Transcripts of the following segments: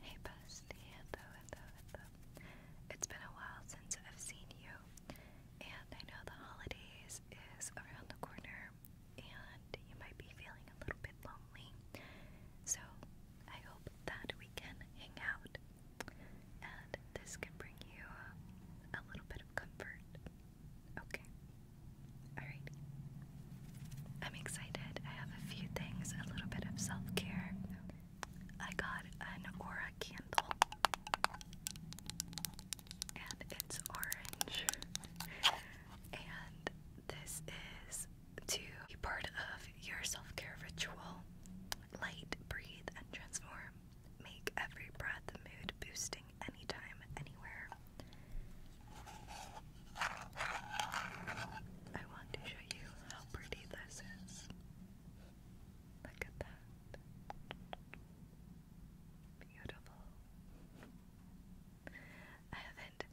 Hey bestie, It's been a while since I've seen you, and I know the holidays is around the corner, and you might be feeling a little bit lonely. So I hope that we can hang out, and this can bring you a little bit of comfort. Okay. Alrighty. I'm excited. I have a few things, a little bit of self care. I got an Aura candle, and it's orange. And this is to be part of your self care ritual. Light, breathe, and transform. Make every breath mood boosting anytime, anywhere. I want to show you how pretty this is. Look at that. Beautiful. I haven't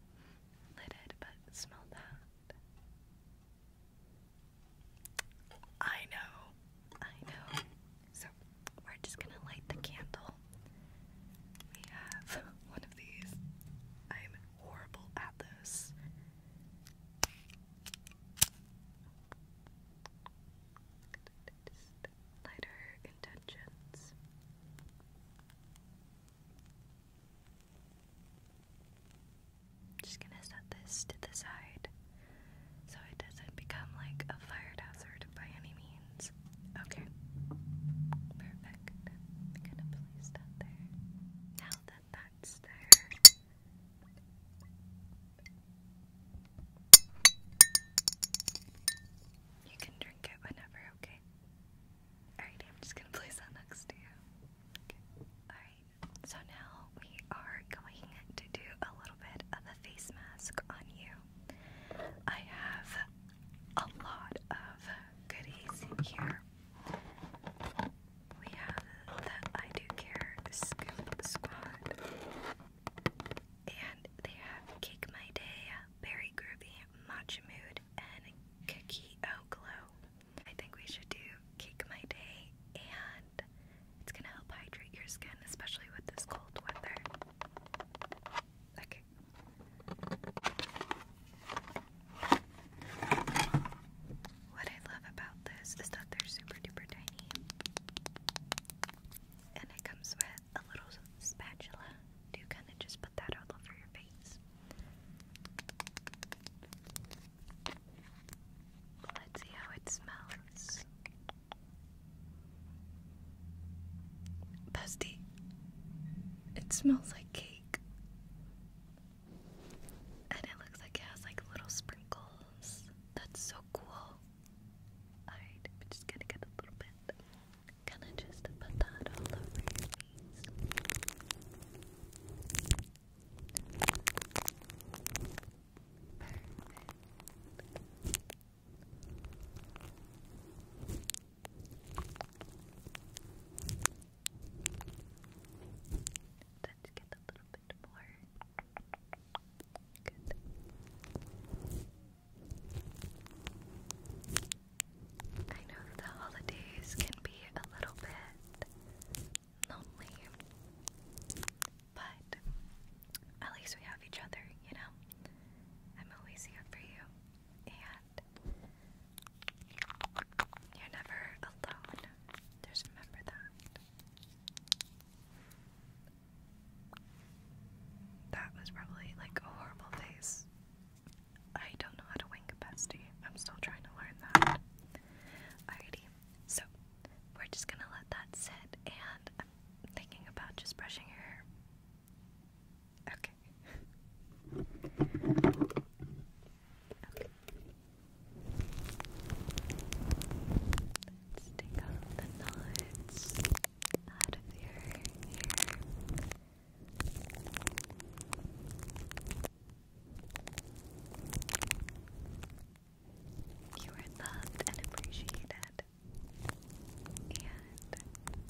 lit it, but smell that. I know. I know. So, we're just going to light the candle. We have one of these. I'm horrible at Lighter intentions. Just gonna set this to the side so it doesn't become like a fire hazard by any means. Okay, perfect. I'm gonna place that there that's there. You can drink it whenever, okay? Alright, I'm just gonna place that next to you. Alright, so now we are going to do a little bit of a face mask on you. I have a lot of goodies in here. We have the I Do Care Scoop Squad. And they have Kick My Day, Berry Groovy, Matcha Mood, and Cookie O Glow. I think we should do Kick My Day, and it's gonna help hydrate your skin, especially with this cold weather. Okay. What I love about this is that they're super duper tiny. And it comes with a little spatula to kind of just put that all over your face. Let's see how it smells. Busty. It smells like cake. And it looks like it has like little sprinkles. That's so cool. Alright, we're just gonna get a little bit. Kinda just put that all over Let's get a little bit more. Good. I know the holidays can be a little bit lonely, but at least we have each other, you know? I'm always here for you, and you're never alone. Just remember that. That was probably like a horrible face. I don't know how to wink bestie. I'm still trying to learn that. Alrighty, so we're just gonna let that sit, and I'm thinking about just brushing your hair. Okay. Let's take out the knots out of your hair. You are loved and appreciated.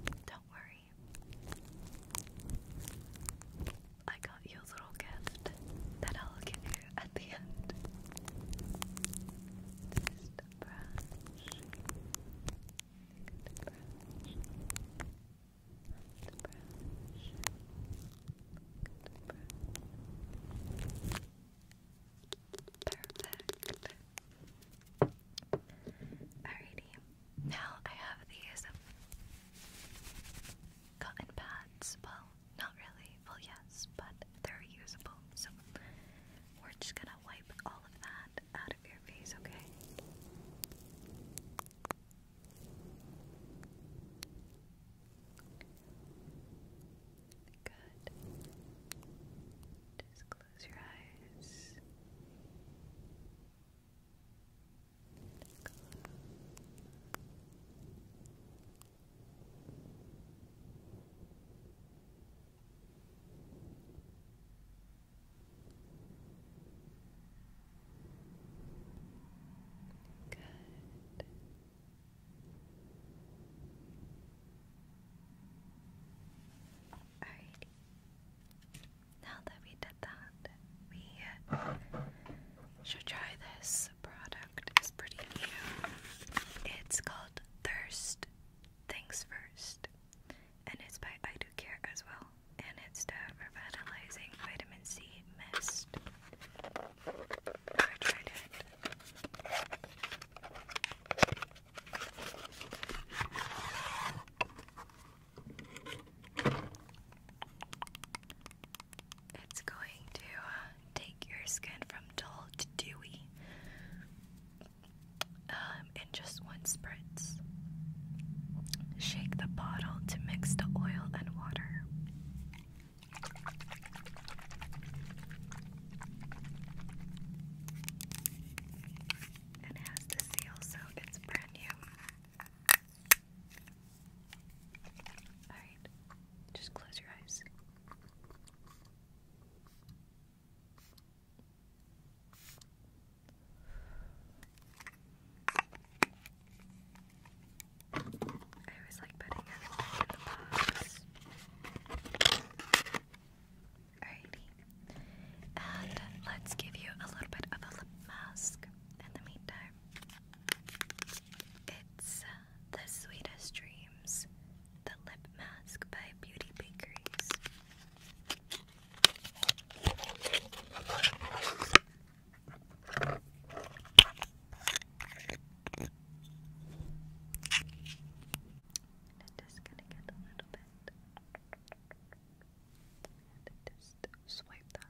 And don't worry. I got you a little gift that I'll give you at the end. Perfect. Alrighty, now I have these cotton pads. Well, not really. Well, yes, but they're usable. So we're just gonna wipe all of that out of your face, okay? Good. Just close your eyes. Good. Alrighty now that we did that, we should try this product. It's pretty new. It's called Thirst Things First, and it's by I Do Care as well. And it's the revitalizing vitamin C mist. I tried it. It's going to uh, take your skin from dull to dewy um, in just one spritz. Shake the bottle to mix the oil and water. it has the seal, so it's brand new. Alright, just close your eyes. I always like putting everything in the box. Alrighty. And let's give you a little bit of a lip mask in the meantime. It's uh, The Sweetest Dreams, the lip mask by Beauty Bakeries. It is gonna get a little bit. And just swipe that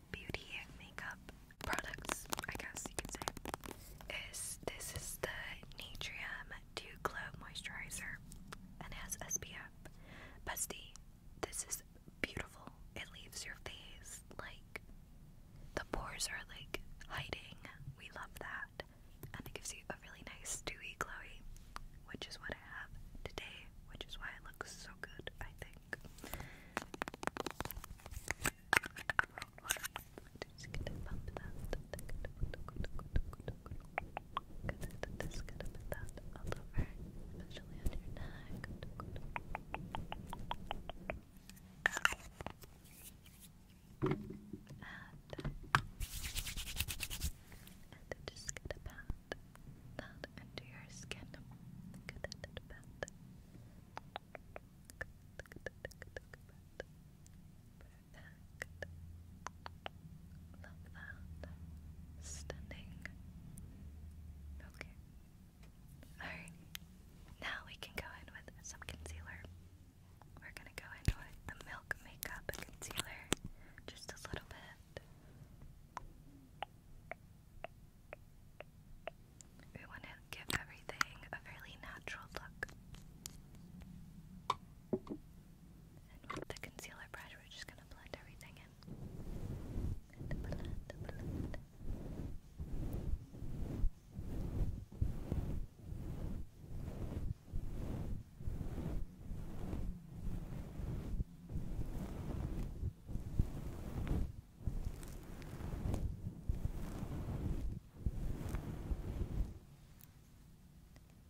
beauty and makeup products, I guess you could say, is this is the Natrium Dew Glow Moisturizer and it has SPF. Bestie, this is beautiful. It leaves your face like the pores are like hiding. We love that. And it gives you a really nice dewy glowy, which is what I have today, which is why it looks so good, I think. Just gonna put that all your neck. And, and just gonna pat that into your skin. Love that. Stunning. Okay. Alright. Now we can go in with some concealer. We're gonna go in with the Milk Makeup Concealer. Just a little bit. We want to give everything a fairly natural look. And with the concealer brush, we're just going to blend everything in.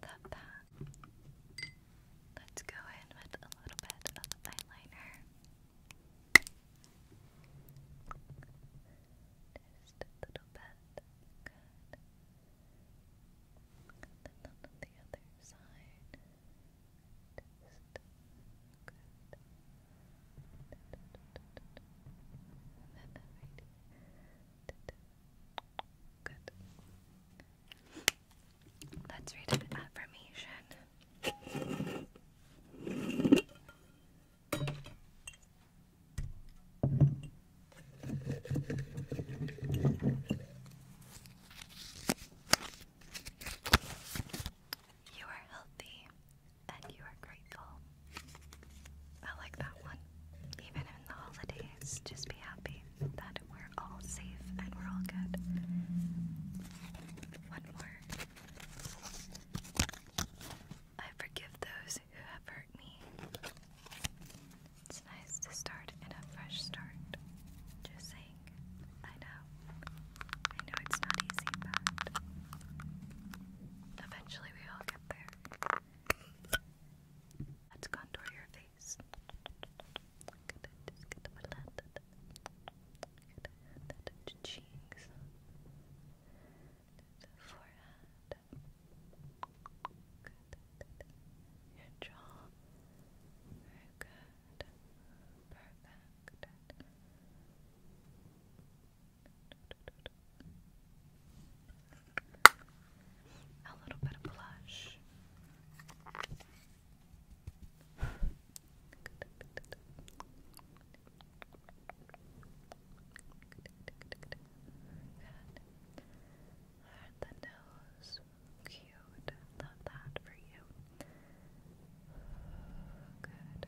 Got that. Let's go in with a little bit of eyeliner. Just a little bit. Good. then on the other side. Just good. Good. Good. Let's read an affirmation. You are healthy and you are grateful. I like that one. Even in the holidays, just be happy that we're all safe and we're all good. One more. I forgive those who have hurt me. It's nice to start in a fresh start. Just saying. I know. I know it's not easy, but Eventually, we all get there. Let's contour your face. Good, just get the the cheeks, the forehead, good, your jaw, good, perfect. A little bit of blush. The nose, cute. Love that for you. Good.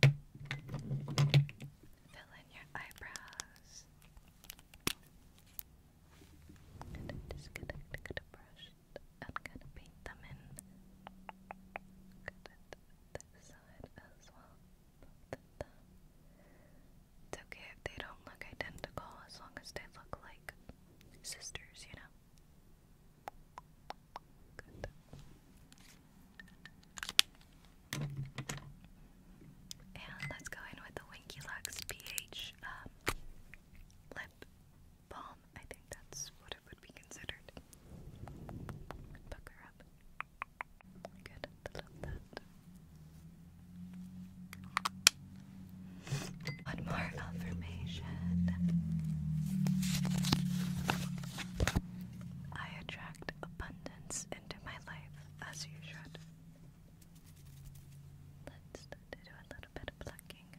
Fill in your eyebrows. And I'm just gonna get a brush and gonna paint them in. Good at this side as well. It's okay if they don't look identical as long as they look like sisters, you know? Good. And let's go in with the Winky Lux pH um, lip balm. I think that's what it would be considered. Pucker up. Good. One more affirmation. I attract abundance into my life as you should. Let's do a little bit of plucking.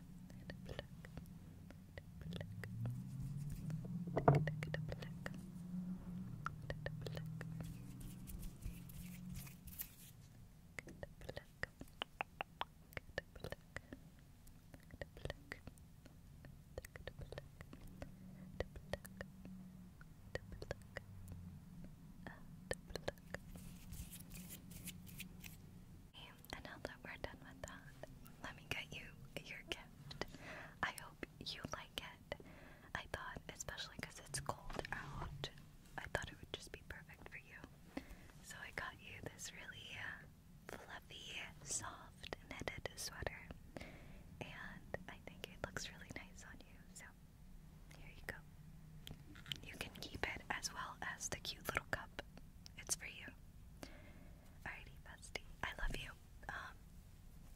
And now that we're done with that, let me get you your gift. I hope you like it. I thought, especially it's cold out, I thought it would just be perfect for you. So I got you this really uh, fluffy, soft knitted sweater, and I think it looks really nice on you. So, here you go. You can keep it as well as the cute little cup. It's for you. Alrighty, bestie. I love you. Um,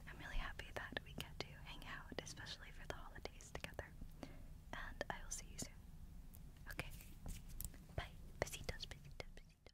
I'm really happy that we get to hang out, especially for the holidays together. And I will see you soon. Okay. Bye. Besitos, besitos, besitos.